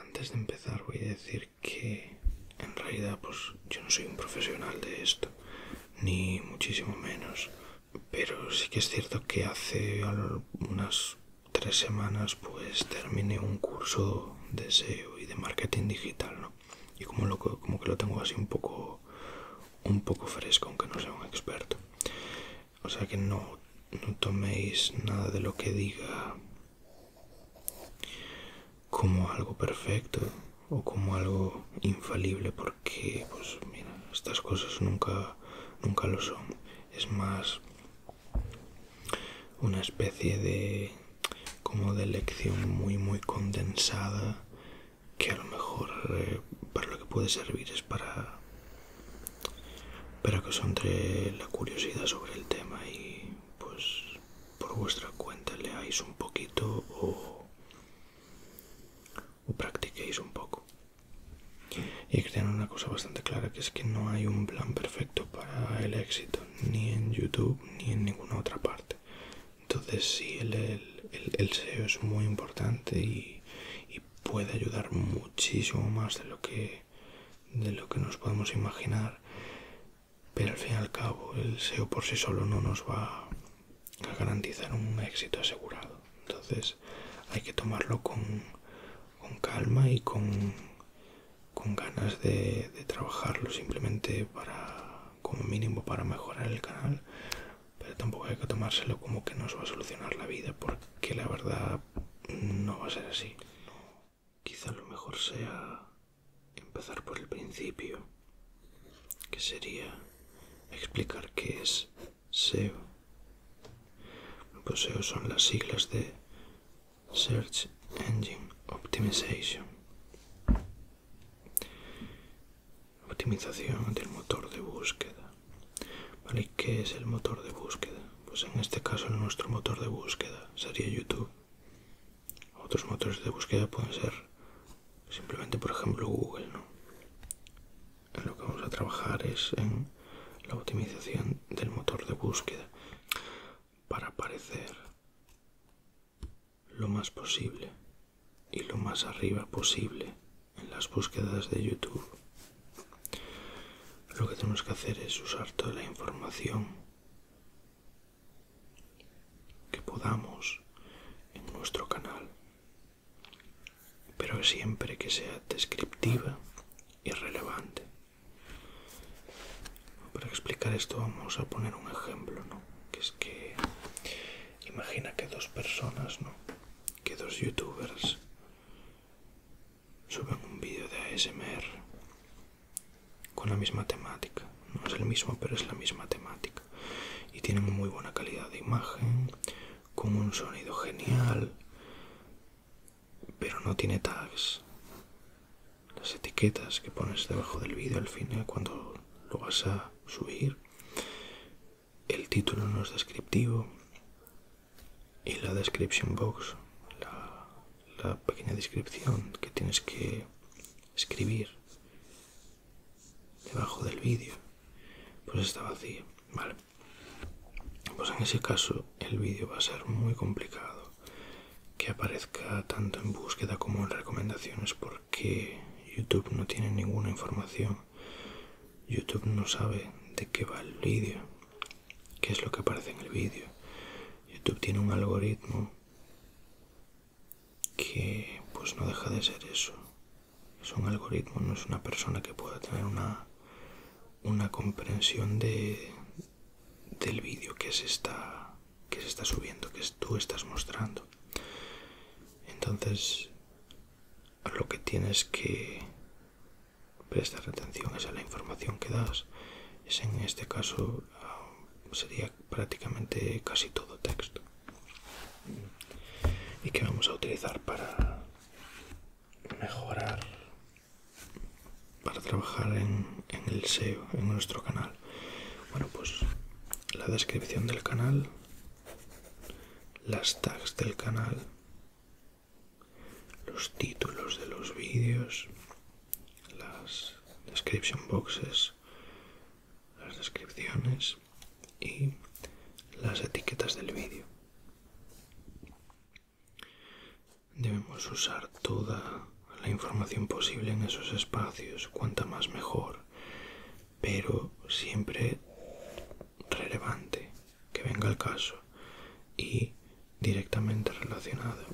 Antes de empezar voy a decir que en realidad pues yo no soy un profesional de esto, ni muchísimo menos, pero sí que es cierto que hace unas tres semanas pues termine un curso de SEO y de marketing digital, ¿no? Y como, lo, como que lo tengo así un poco, un poco fresco, aunque no sea un experto. O sea que no, no toméis nada de lo que diga como algo perfecto o como algo infalible porque pues mira estas cosas nunca nunca lo son es más una especie de como de lección muy muy condensada que a lo mejor eh, para lo que puede servir es para para que os entre la curiosidad sobre el tema y pues por vuestra cuenta leáis un poquito o, o practiquéis un poco y tener una cosa bastante clara que es que no hay un plan perfecto para el éxito ni en youtube ni en ninguna otra parte entonces sí el, SEO es muy importante y, y puede ayudar muchísimo más de lo que de lo que nos podemos imaginar pero al fin y al cabo el SEO por sí solo no nos va a garantizar un éxito asegurado entonces hay que tomarlo con, con calma y con con ganas de, trabajarlo simplemente para como mínimo para mejorar el canal pero tampoco hay que tomárselo como que nos va a solucionar la vida porque la verdad no va a ser así quizá lo mejor sea empezar por el principio que sería explicar qué es SEO pues SEO son las siglas de Search Engine Optimization. Optimización del motor de búsqueda. ¿Vale? ¿Qué es el motor de búsqueda? Pues en este caso nuestro motor de búsqueda sería YouTube. Otros motores de búsqueda pueden ser simplemente, por ejemplo, Google, ¿no? lo que vamos a trabajar es en la optimización del motor de búsqueda para aparecer lo más posible y lo más arriba posible en las búsquedas de YouTube. Lo que tenemos que hacer es usar toda la información que podamos en nuestro canal, pero siempre que sea descriptiva y relevante. Para explicar esto vamos a poner un ejemplo, ¿no? Que es que imagina que dos personas, ¿no? Que dos youtubers suben un vídeo de ASMR con la misma temática. No es el mismo, pero es la misma temática. Y tienen muy buena calidad de imagen, con un sonido genial, pero no tiene tags. Las etiquetas que pones debajo del vídeo al final cuando lo vas a subir. El título no es descriptivo. Y la description box, la, pequeña descripción que tienes que escribir debajo del vídeo, pues está vacía. Vale. Pues en ese caso el vídeo va a ser muy complicado que aparezca tanto en búsqueda como en recomendaciones porque YouTube no tiene ninguna información. YouTube no sabe de qué va el vídeo, qué es lo que aparece en el vídeo. YouTube tiene un algoritmo que pues no deja de ser eso. Es un algoritmo, no es una persona que pueda tener una una comprensión de, del vídeo que se está subiendo que tú estás mostrando entonces lo que tienes que prestar atención es a la información que das es en este caso ah, sería prácticamente casi todo texto y que vamos a utilizar para mejorar para trabajar en, el SEO, en nuestro canal. Bueno, pues la descripción del canal, las tags del canal, los títulos de los vídeos, las description boxes, las descripciones y las etiquetas del vídeo. Debemos usar toda la información posible en esos espacios, cuanta más mejor, pero siempre relevante, que venga el caso y directamente relacionado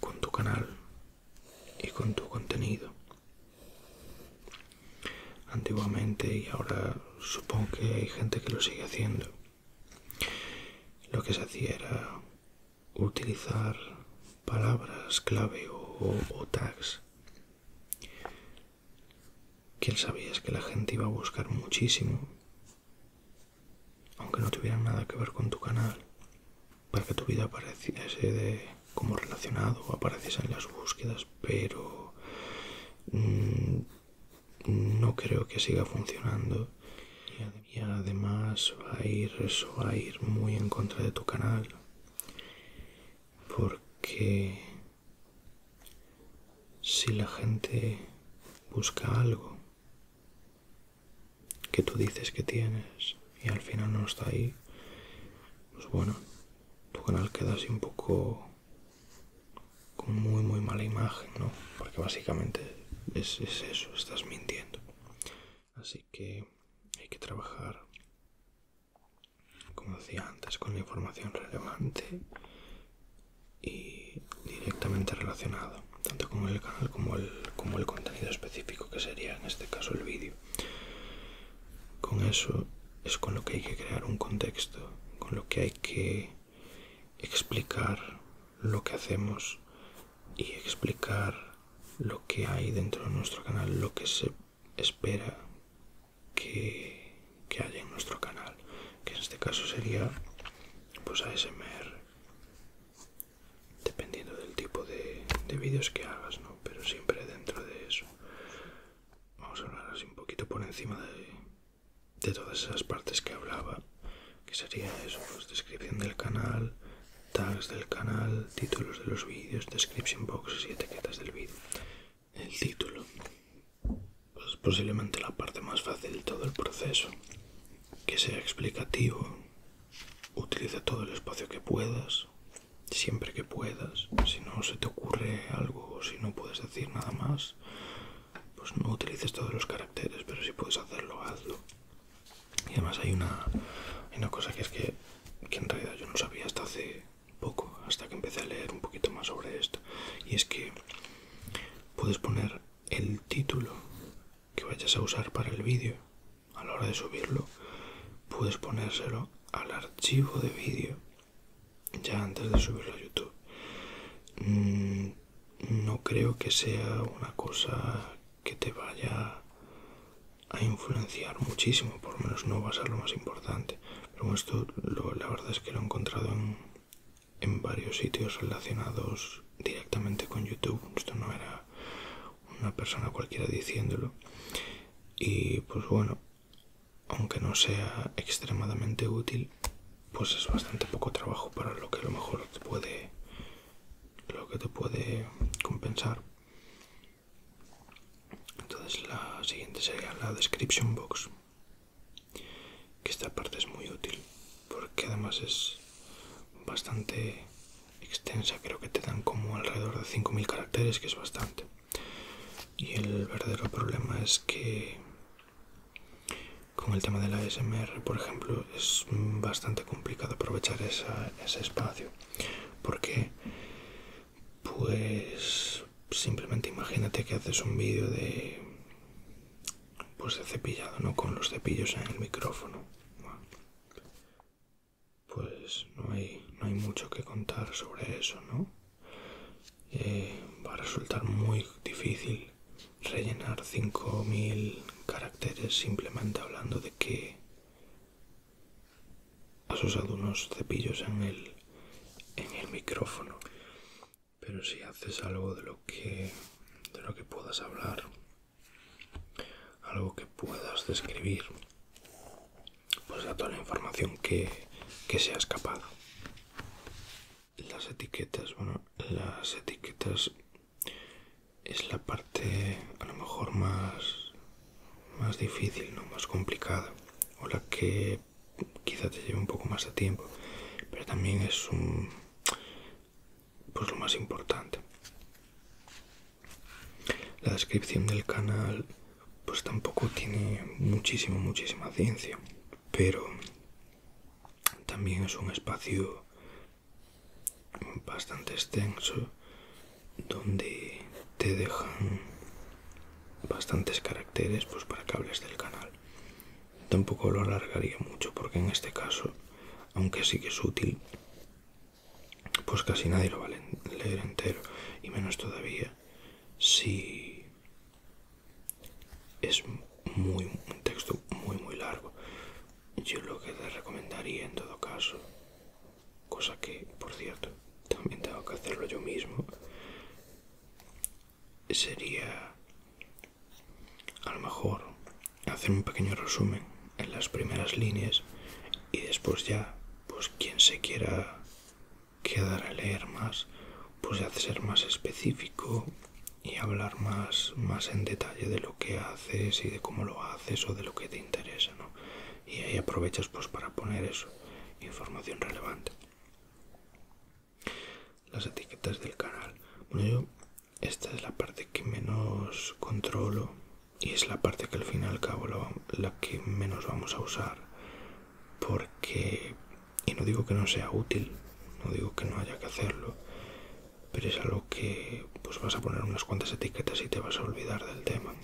con tu canal y con tu contenido. Antiguamente y ahora supongo que hay gente que lo sigue haciendo. Lo que se hacía era utilizar palabras clave o, tags tags. ¿Quién es que la gente iba a buscar muchísimo? Aunque no tuvieran nada que ver con tu canal, para que tu vida apareciese como relacionado o apareciese en las búsquedas, pero mm, no creo que siga funcionando y además va a ir eso va a ir muy en contra de tu canal porque si la gente busca algo que tú dices que tienes y al final no está ahí pues bueno tu canal queda así un poco con muy muy mala imagen no porque básicamente es, eso, estás mintiendo. Así que hay que trabajar, como decía antes, con la información relevante y directamente relacionada, tanto con el canal como el, como el contenido específico que sería en este caso el vídeo. Con eso es con lo que hay que crear un contexto, con lo que hay que explicar lo que hacemos y explicar lo que hay dentro de nuestro canal, lo que se espera que, haya en nuestro canal, que en este caso sería pues ASMR, dependiendo del tipo de, vídeos que hagas, pero siempre dentro de eso. Vamos a hablar así un poquito por encima de todas esas partes que hablaba que sería eso, pues descripción del canal, tags del canal, títulos de los vídeos, description boxes y etiquetas del vídeo. El título, es pues posiblemente la parte más fácil de todo el proceso, que sea explicativo, utiliza todo el espacio que puedas, siempre que puedas, si no se te ocurre algo o si no puedes decir nada más, pues no utilices todos los caracteres, pero si puedes hacerlo, hazlo. Y además hay una, una cosa que es que, en realidad yo no sabía hasta hace poco, hasta que empecé a leer un poquito más sobre esto. Y es que puedes poner el título que vayas a usar para el vídeo. A la hora de subirlo, puedes ponérselo al archivo de vídeo ya antes de subirlo a YouTube. Mm, no creo que sea una cosa que te vaya a influenciar muchísimo, por lo menos no va a ser lo más importante. Pero esto la verdad es que lo he encontrado en, en varios sitios relacionados directamente con YouTube. Esto no era una persona cualquiera diciéndolo. Y pues bueno, aunque no sea extremadamente útil, pues es bastante poco trabajo para lo que a lo mejor te puede lo que te puede compensar entonces la siguiente sería la description box que esta parte es muy útil porque además es bastante extensa creo que te dan como alrededor de 5000 caracteres que es bastante y el verdadero problema es que con el tema de la SMR, por ejemplo, es bastante complicado aprovechar ese espacio. Porque, pues, simplemente imagínate que haces un vídeo de, pues, de cepillado, ¿no? Con los cepillos en el micrófono. Pues no hay, no hay mucho que contar sobre eso, ¿no? Eh, va a resultar muy difícil rellenar 5.000 caracteres simplemente hablando de que has usado unos cepillos en el, en el micrófono. Pero si haces algo de lo que, de lo que puedas hablar, algo que puedas describir, pues da toda la información que, se ha escapado Las etiquetas, bueno, las etiquetas es la parte a lo mejor más, más difícil, ¿no? más complicada, o la que quizá te lleve un poco más de tiempo, pero también es un, pues lo más importante. La descripción del canal pues tampoco tiene muchísimo, muchísima ciencia, pero también es un espacio bastante extenso donde te dejan bastantes caracteres pues para que hables del canal tampoco lo alargaría mucho porque en este caso aunque sí que es útil pues casi nadie lo va a leer entero y menos todavía si es muy un texto muy muy largo yo lo que te recomendaría en todo caso, cosa que, por cierto, también tengo que hacerlo yo mismo, sería a lo mejor hacer un pequeño resumen en las primeras líneas y después ya, pues quien se quiera quedar a leer más, pues ya ser más específico y hablar más, más en detalle de lo que haces y de cómo lo haces o de lo que te interesa, Y ahí aprovechas pues para poner eso, información relevante. Las etiquetas del canal. Bueno, yo esta es la parte que menos controlo y es la parte que al fin y al cabo la que menos vamos a usar. Porque, y no digo que no sea útil, no digo que no haya que hacerlo, pero es algo que pues vas a poner unas cuantas etiquetas y te vas a olvidar del tema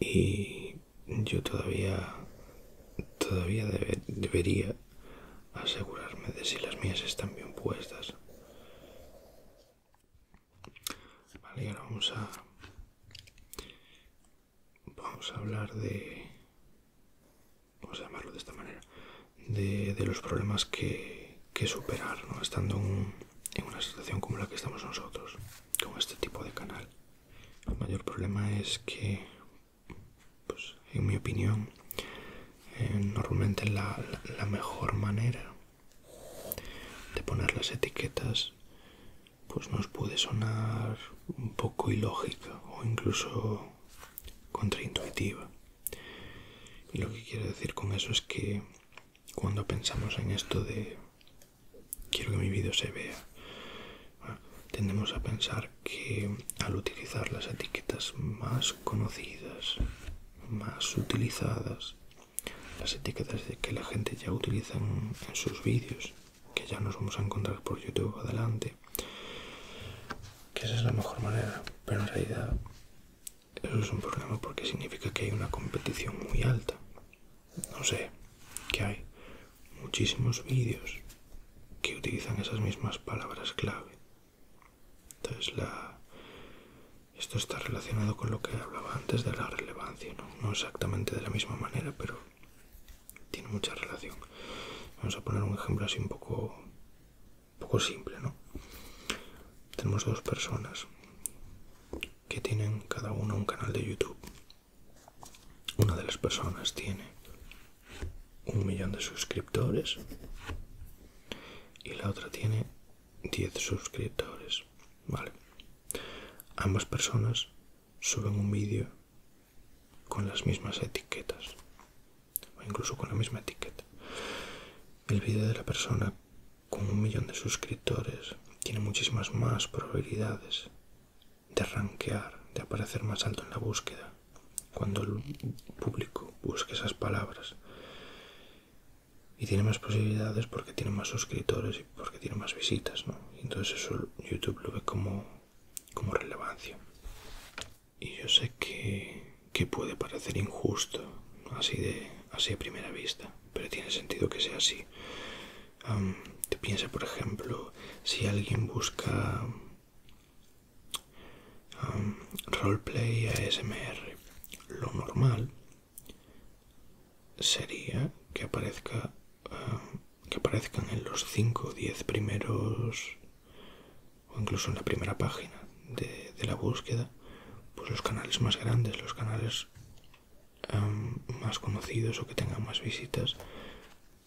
y yo todavía todavía debería asegurarme de si las mías están bien puestas vale ahora vamos a vamos a hablar de vamos a llamarlo de esta manera, de, los problemas que, superar, estando en una situación como la que estamos nosotros, con este tipo de canal. El mayor problema es que, pues, en mi opinión, eh, normalmente la, mejor manera de poner las etiquetas pues nos puede sonar un poco ilógica o incluso contraintuitiva. Y lo que quiero decir con eso es que cuando pensamos en esto de quiero que mi vídeo se vea, ah, tendemos a pensar que al utilizar las etiquetas más conocidas, más utilizadas, las etiquetas que la gente ya utiliza en, en sus vídeos, que ya nos vamos a encontrar por YouTube adelante, que esa es la mejor manera pero en realidad eso es un problema porque significa que hay una competición muy alta no sé que hay muchísimos vídeos que utilizan esas mismas palabras clave entonces la esto está relacionado con lo que hablaba antes de la relevancia no exactamente de la misma manera pero tiene mucha relación vamos a poner un ejemplo así un poco poco simple, ¿no? Tenemos dos personas que tienen cada una un canal de YouTube. Una de las personas tiene un millón de suscriptores y la otra tiene 10 suscriptores. Vale. Ambas personas suben un vídeo con las mismas etiquetas o incluso con la misma etiqueta. El vídeo de la persona con un millón de suscriptores tiene muchísimas más probabilidades de rankear, de aparecer más alto en la búsqueda, cuando el público busca esas palabras. Y tiene más posibilidades porque tiene más suscriptores y porque tiene más visitas, ¿no? Entonces eso YouTube lo ve como, como relevancia. Y yo sé que, puede parecer injusto, así de así a primera vista, pero tiene sentido que sea así. te piensa, por ejemplo, si alguien busca roleplay roleplay ASMR, lo normal sería que aparezca que aparezcan en los 5 o 10 primeros o incluso en la primera página de, la búsqueda, pues los canales más grandes, los canales em, más conocidos o que tengan más visitas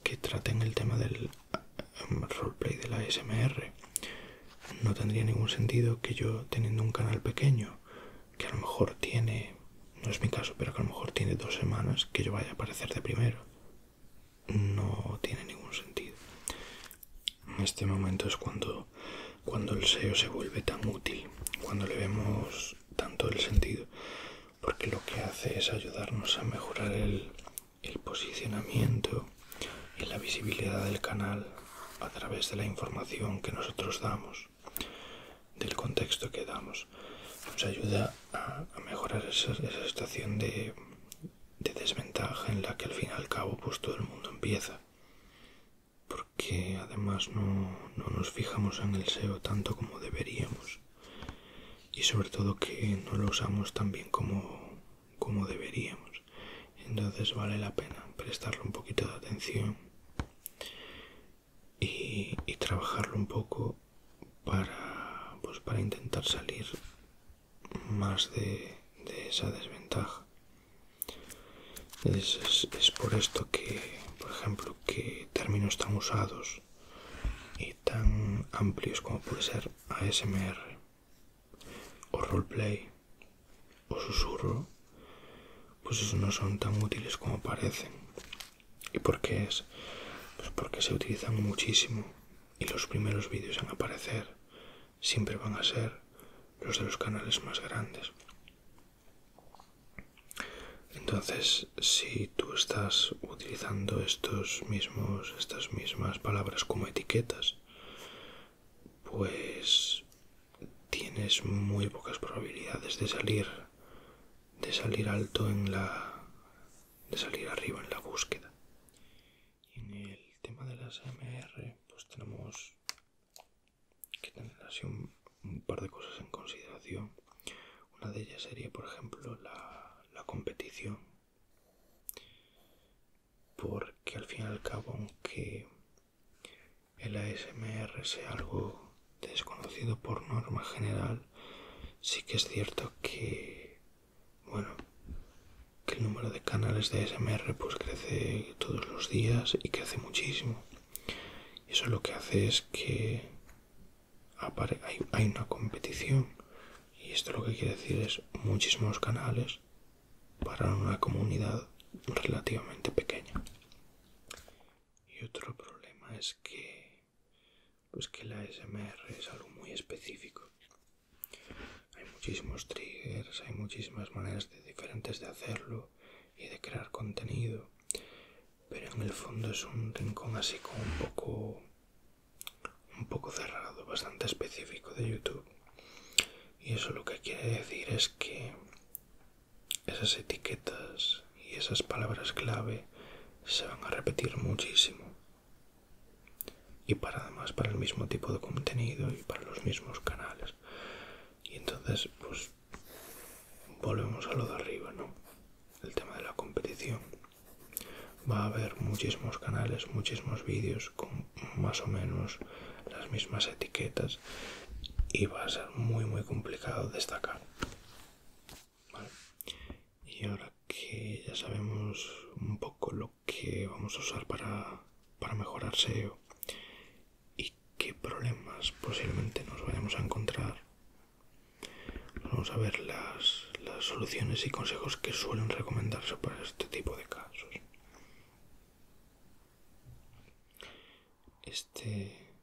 que traten el tema del em, roleplay de la SMR. No tendría ningún sentido que yo teniendo un canal pequeño, que a lo mejor tiene, no es mi caso, pero que a lo mejor tiene dos semanas, que yo vaya a aparecer de primero no tiene ningún sentido. En este momento es cuando, cuando el SEO se vuelve tan útil, cuando le vemos tanto el sentido, porque lo que hace es ayudarnos a mejorar el, posicionamiento y la visibilidad del canal a través de la información que nosotros damos, del contexto que damos. Nos ayuda a, mejorar esa, esa estación de, de desventaja en la que al fin y al cabo pues todo el mundo empieza porque además no, nos fijamos en el SEO tanto como deberíamos y sobre todo que no lo usamos tan bien como, como deberíamos entonces vale la pena prestarle un poquito de atención y, y trabajarlo un poco para, pues para intentar salir más de, esa desventaja es, por esto que por ejemplo que términos tan usados y tan amplios como puede ser ASMR o roleplay o susurro pues esos no son tan útiles como parecen y por qué es pues porque se utilizan muchísimo y los primeros vídeos en aparecer siempre van a ser los de los canales más grandes. Entonces, si tú estás utilizando estos mismos, estas mismas palabras como etiquetas, pues tienes muy pocas probabilidades de salir de salir alto en la de salir arriba en la búsqueda. en el tema de las MR pues tenemos que tener así un, par de cosas en consideración. Una de ellas sería, por ejemplo, la, la competición. Porque al fin y al cabo, aunque el ASMR sea algo desconocido por norma general, sí que es cierto que bueno, que el número de canales de SMR pues crece todos los días y crece muchísimo. eso lo que hace es que hay, una competición. Y esto lo que quiere decir es muchísimos canales para una comunidad relativamente pequeña. Y otro problema es que pues que la SMR es algo muy específico. Hay muchísimos triggers, hay muchísimas maneras diferentes de hacerlo y de crear contenido, pero en el fondo es un rincón así como un poco un poco cerrado, bastante específico de YouTube. Y eso lo que quiere decir es que esas etiquetas y esas palabras clave se van a repetir muchísimo y para además para el mismo tipo de contenido y para los mismos canales y entonces pues volvemos a lo de arriba no el tema de la competición va a haber muchísimos canales muchísimos vídeos con más o menos las mismas etiquetas y va a ser muy muy complicado destacar y ahora que ya sabemos un poco lo que vamos a usar para, mejorar SEO y qué problemas posiblemente nos vayamos a encontrar. Vamos a ver las, soluciones y consejos que suelen recomendarse para este tipo de casos. Este,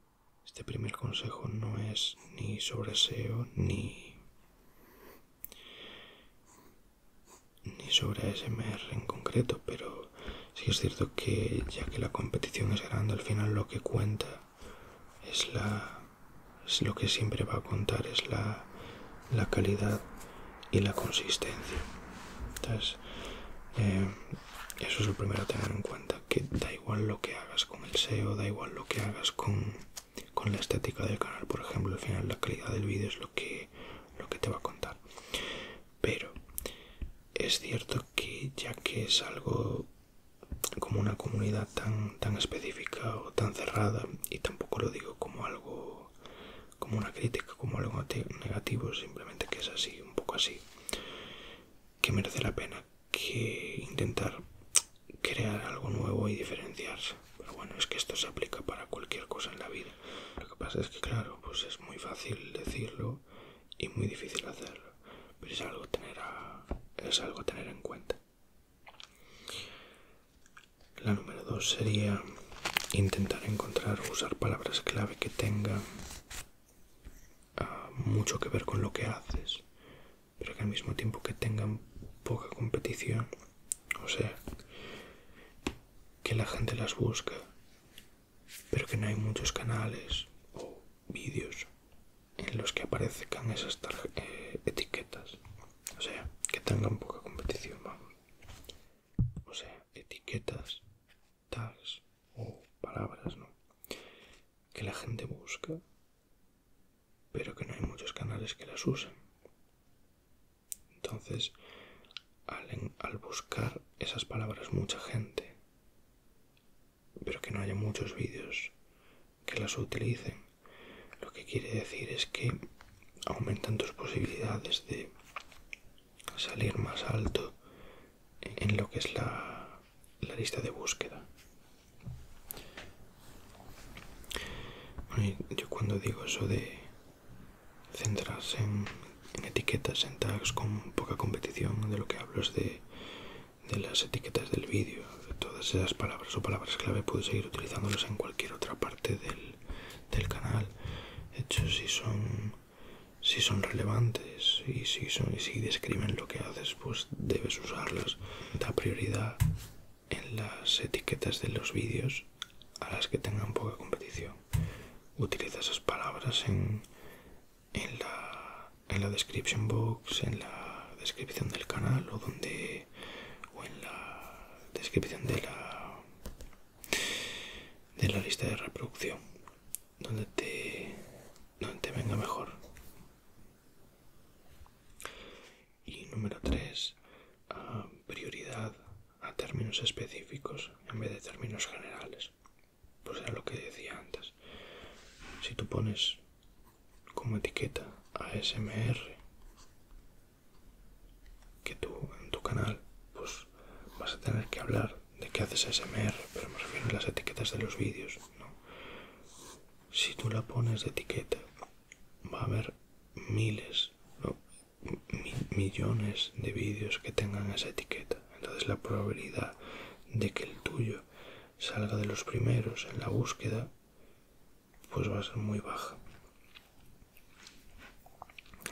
este primer consejo no es ni sobre SEO ni, ni sobre ASMR en concreto, pero sí es cierto que ya que la competición es grande, al final lo que cuenta es la es lo que siempre va a contar es la, la calidad y la consistencia. Entonces, eh, eso es lo primero a tener en cuenta, que da igual lo que hagas con el SEO, da igual lo que hagas con, con la estética del canal, por ejemplo, al final la calidad del vídeo es lo que lo que te va a contar. Pero es cierto que ya que es algo como una comunidad tan, tan específica o tan cerrada, y tampoco lo digo como algo como una crítica, como algo negativo, simplemente que es así, un poco así, que merece la pena que intentar crear algo nuevo y diferenciarse. Pero bueno, es que esto se aplica para cualquier cosa en la vida lo que pasa es que, claro, pues es muy fácil decirlo y muy difícil hacerlo. Pero es algo, tener a, tener en cuenta. La número dos sería intentar encontrar o usar palabras clave que tengan ah, mucho que ver con lo que haces, pero que al mismo tiempo que tengan poca competición o sea, que la gente las busca, pero que no hay muchos canales o vídeos en los que aparezcan esas eh, etiquetas. O sea, que tengan poca competición, O sea, etiquetas, tags o palabras, ¿no? Que la gente busca, pero que no hay muchos canales que las usen. Entonces, al, buscar esas palabras mucha gente, pero que no haya muchos vídeos que las utilicen, lo que quiere decir es que aumentan tus posibilidades de salir más alto en lo que es la, lista de búsqueda. yo cuando digo eso de centrarse en, etiquetas, en tags con poca competición, de lo que hablo es de, las etiquetas del vídeo, de todas esas palabras o palabras clave puedes seguir utilizándolas en cualquier otra parte del, del canal. De hecho, si son, si son relevantes y si, son, y si describen lo que haces, pues debes usarlas. Da prioridad en las etiquetas de los vídeos a las que tengan poca competición Utiliza esas palabras en, la, en la description box, en la descripción del canal o donde o en la descripción de la de la lista de reproducción donde te donde te venga mejor y número 3 a prioridad a términos específicos en vez de términos generales. Pues era lo que decía antes. Si tú pones como etiqueta ASMR, que tú en tu canal pues vas a tener que hablar de qué haces ASMR, pero más bien a las etiquetas de los vídeos, Si tú la pones de etiqueta, va a haber miles, millones de vídeos que tengan esa etiqueta. Entonces la probabilidad de que el tuyo salga de los primeros en la búsqueda pues va a ser muy baja.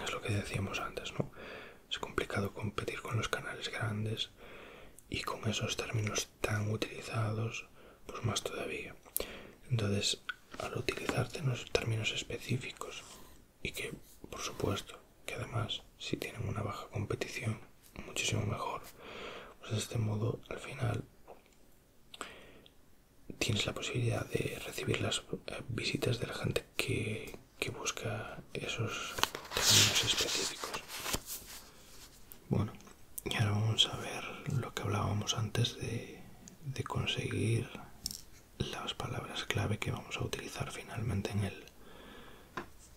Es lo que decíamos antes, ¿no? Es complicado competir con los canales grandes y con esos términos tan utilizados, pues más todavía. Entonces, al los términos específicos y que, por supuesto, que además, si tienen una baja competición, muchísimo mejor. Pues de este modo, al final, tienes la posibilidad de recibir las eh, visitas de la gente que, busca esos términos específicos. Bueno, y ahora vamos a ver lo que hablábamos antes de conseguir las palabras clave que vamos a utilizar finalmente en el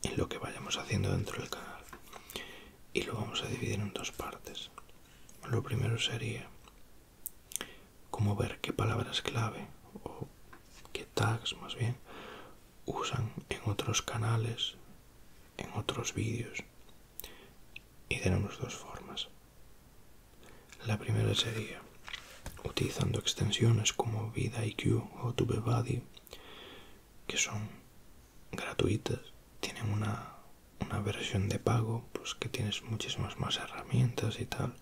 en lo que vayamos haciendo dentro del canal y lo vamos a dividir en dos partes lo primero sería cómo ver qué palabras clave o qué tags más bien usan en otros canales en otros vídeos y tenemos dos formas la primera sería, utilizando extensiones como Vida o TubeBuddy, que son gratuitas, tienen una, una versión de pago, pues que tienes muchísimas más herramientas y tal,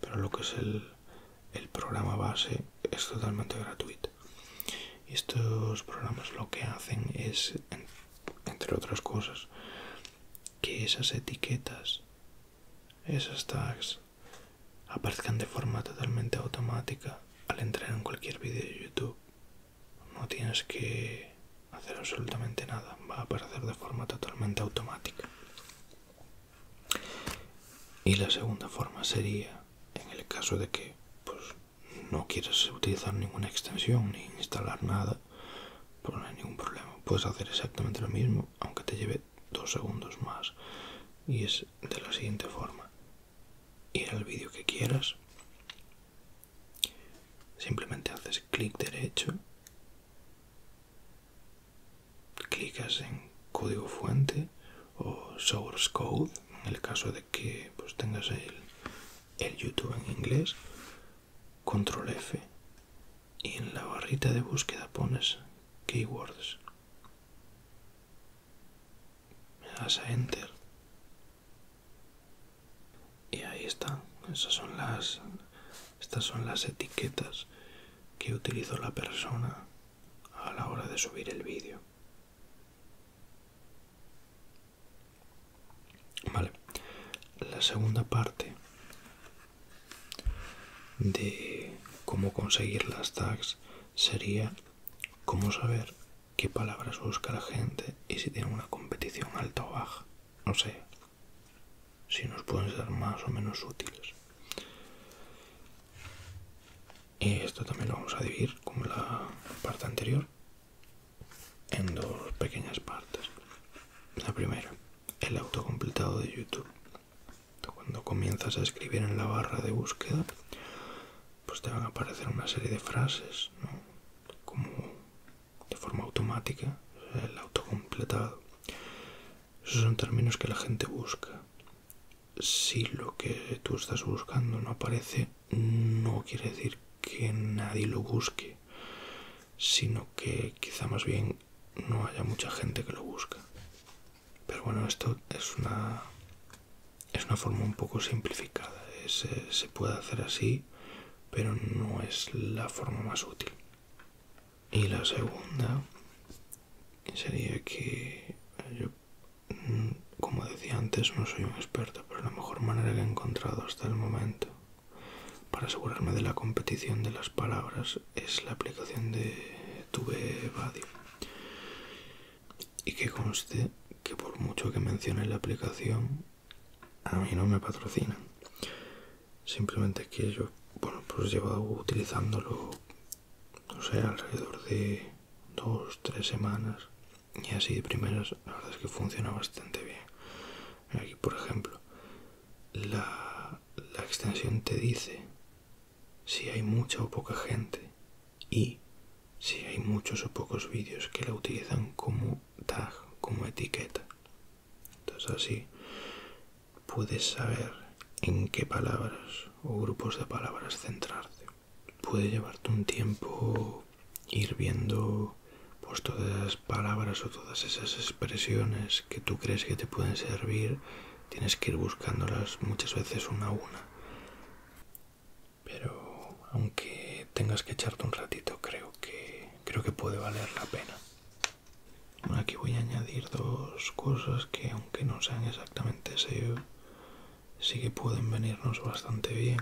pero lo que es el, el programa base es totalmente gratuito. Y estos programas lo que hacen es, entre otras cosas, que esas etiquetas esas tags aparezcan de forma totalmente automática al entrar en cualquier vídeo de YouTube. No tienes que hacer absolutamente nada, va a aparecer de forma totalmente automática. Y la segunda forma sería, en el caso de que pues, no quieras utilizar ninguna extensión ni instalar nada, pues no hay ningún problema. Puedes hacer exactamente lo mismo, aunque te lleve dos segundos más y es de la siguiente forma ir al vídeo que quieras simplemente haces clic derecho clicas en código fuente o source code en el caso de que pues, tengas el, el youtube en inglés control f y en la barrita de búsqueda pones keywords. Me das a enter. Y ahí está. Esas son las estas son las etiquetas que utilizó la persona a la hora de subir el vídeo. Vale. La segunda parte de cómo conseguir las tags sería cómo saber qué palabras busca la gente y si tiene una competición alta o baja. no sé, si nos pueden ser más o menos útiles. Y esto también lo vamos a dividir, como la parte anterior, en dos pequeñas partes. La primera, el autocompletado de YouTube. Cuando comienzas a escribir en la barra de búsqueda, pues te van a aparecer una serie de frases, Como de forma automática, el autocompletado. Esos son términos que la gente busca. Si lo que tú estás buscando no aparece, no quiere decir que nadie lo busque, sino que quizá más bien no haya mucha gente que lo busca. Pero bueno, esto es una, forma un poco simplificada. Eh, se puede hacer así, pero no es la forma más útil. Y la segunda sería que mm, como decía antes, no soy un experto, pero la mejor manera que he encontrado hasta el momento para asegurarme de la competición de las palabras es la aplicación de TubeBuddy y que conste que por mucho que mencione la aplicación a mí no me patrocinan simplemente es que yo bueno pues llevo utilizándolo no sé alrededor de dos tres semanas y así de primeras la verdad es que funciona bastante bien aquí por ejemplo la extensión te dice si hay mucha o poca gente y si hay muchos o pocos vídeos que la utilizan como tag, como etiqueta. Entonces así puedes saber en qué palabras o grupos de palabras centrarte. Puede llevarte un tiempo ir viendo pues todas esas palabras o todas esas expresiones que tú crees que te pueden servir tienes que ir buscándolas muchas veces una a una. Pero aunque tengas que echarte un ratito, creo que creo que puede valer la pena. aquí voy a añadir dos cosas que aunque no sean exactamente SEO, sí que pueden venirnos bastante bien.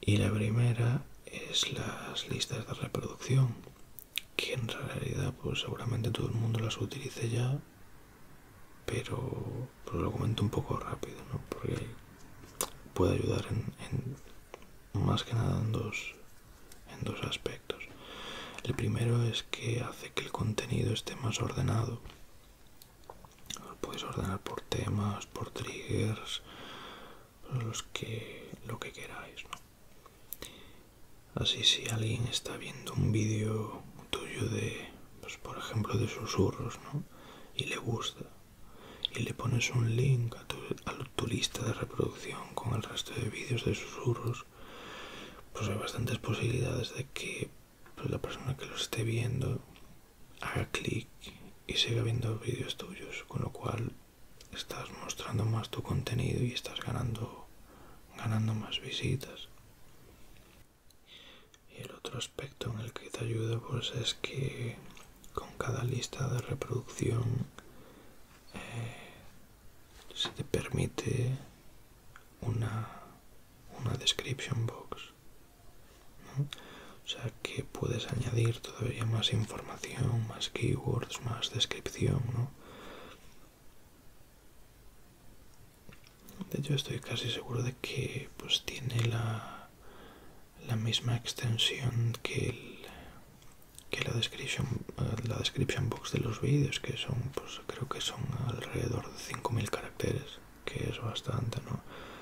Y la primera es las listas de reproducción que en realidad pues seguramente todo el mundo las utilice ya pero lo comento un poco rápido porque puede ayudar en, más que nada en dos en dos aspectos el primero es que hace que el contenido esté más ordenado lo puedes ordenar por temas por triggers los que lo que queráis Así ah, si alguien está viendo un vídeo tuyo de, pues, por ejemplo, de susurros, Y le gusta. Y le pones un link a tu, lista de reproducción con el resto de vídeos de susurros, pues hay bastantes posibilidades de que pues, la persona que lo esté viendo haga clic y siga viendo vídeos tuyos, con lo cual estás mostrando más tu contenido y estás ganando ganando más visitas y el otro aspecto en el que te ayuda pues es que con cada lista de reproducción eh, se te permite una, description box o sea que puedes añadir todavía más información más keywords más descripción de hecho estoy casi seguro de que pues tiene la, misma extensión que, eh, la, description, box de los vídeos, que son pues creo que son alrededor de 5000 caracteres, que es bastante, ¿no?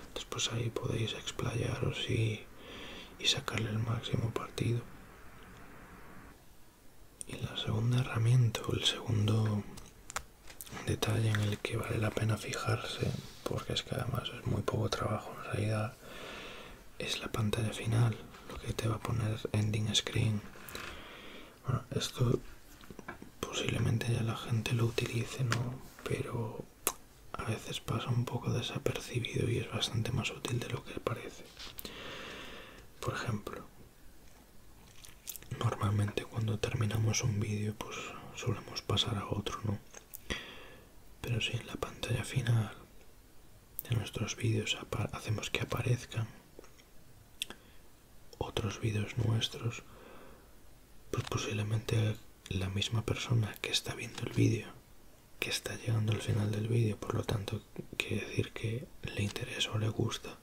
Entonces pues ahí podéis explayaros y sacarle el máximo partido. Y la segunda herramienta el segundo detalle en el que vale la pena fijarse, porque es que además es muy poco trabajo en realidad, es la pantalla final, lo que te va a poner ending screen. Bueno, esto posiblemente ya la gente lo utilice, ¿no? Pero a veces pasa un poco desapercibido y es bastante más útil de lo que parece. Por ejemplo, normalmente cuando terminamos un vídeo, pues solemos pasar a otro, ¿no? Pero si en la pantalla final de nuestros vídeos hacemos que aparezcan otros vídeos nuestros, pues posiblemente la misma persona que está viendo el vídeo que está llegando al final del vídeo, por lo tanto quiere decir que le interesa o le gusta,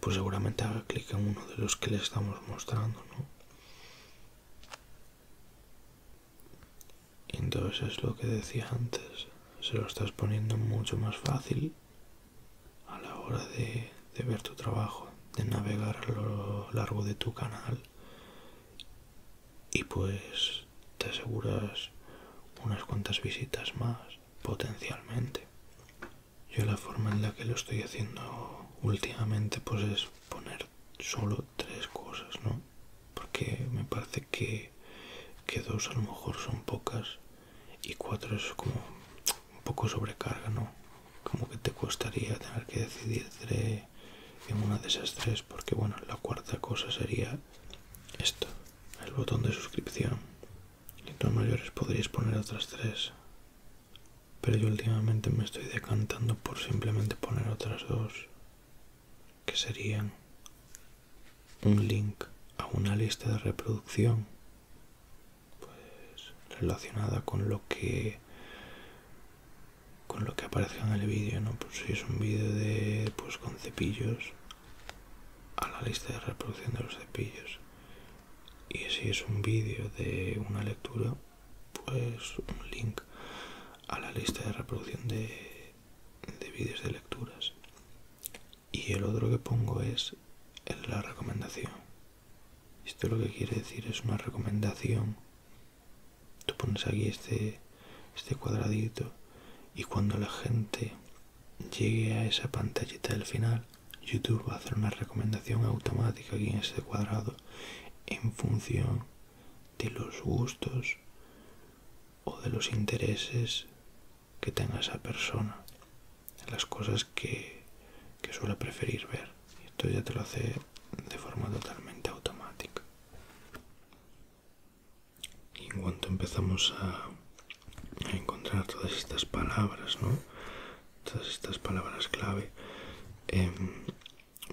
pues seguramente haga clic en uno de los que le estamos mostrando, ¿no? entonces es lo que decía antes, se lo estás poniendo mucho más fácil a la hora de ver tu trabajo, de navegar a lo largo de tu canal y pues te aseguras unas cuantas visitas más, potencialmente. Yo la forma en la que lo estoy haciendo últimamente pues es poner solo tres cosas, ¿no? Porque me parece que, que dos a lo mejor son pocas y cuatro es como un poco sobrecarga, ¿no? Como que te costaría tener que decidir entre en una de esas tres porque bueno, la cuarta cosa sería esto, el botón de suscripción. Y tú mayores podríais poner otras tres. Pero yo últimamente me estoy decantando por simplemente poner otras dos. Que serían un link a una lista de reproducción pues, relacionada con lo que con lo que aparezca en el vídeo, ¿no? Pues si es un vídeo de pues con cepillos, a la lista de reproducción de los cepillos y si es un vídeo de una lectura pues un link a la lista de reproducción de, vídeos de lecturas y el otro que pongo es la recomendación esto lo que quiere decir es una recomendación tú pones aquí este este cuadradito y cuando la gente llegue a esa pantallita del final, YouTube va a hacer una recomendación automática aquí en este cuadrado en función de los gustos o de los intereses que tenga esa persona, las cosas que, que suele preferir ver. Esto ya te lo hace de forma totalmente automática. Y en cuanto empezamos a, encontrar todas estas palabras, ¿no? Todas estas palabras clave, em,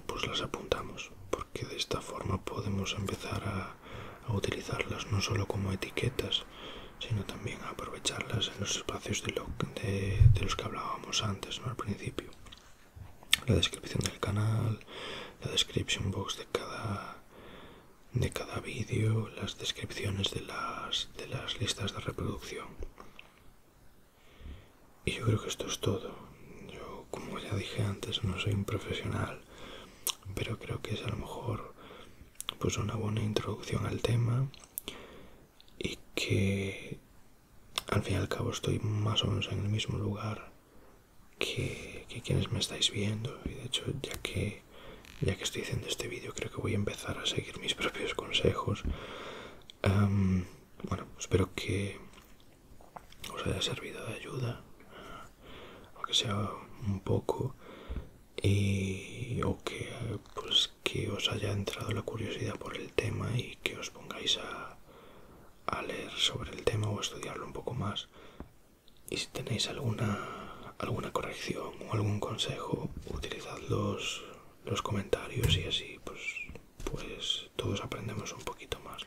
pues las apuntamos, porque de esta forma podemos empezar a, utilizarlas no solo como etiquetas, sino también a aprovecharlas en los espacios de, los que hablábamos antes, ¿no? Al principio. La descripción del canal, la description box de cada de cada vídeo, las descripciones de las, listas de reproducción. Y yo creo que esto es todo. Yo, como ya dije antes, no soy un profesional, pero creo que es a lo mejor pues una buena introducción al tema y que al fin y al cabo estoy más o menos en el mismo lugar que, quienes me estáis viendo y de hecho ya que ya que estoy haciendo este vídeo creo que voy a empezar a seguir mis propios consejos bueno espero que os haya servido de ayuda aunque sea un poco y o pues, que os haya entrado la curiosidad por el tema y que os pongáis a, a leer sobre el tema o estudiarlo un poco más y si tenéis alguna alguna corrección o algún consejo utilizad los, los comentarios y así pues pues todos aprendemos un poquito más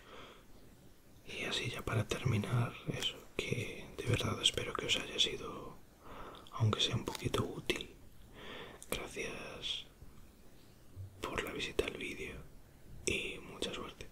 y así ya para terminar eso que de verdad espero que os haya sido aunque sea un poquito útil gracias por la visita al vídeo y mucha suerte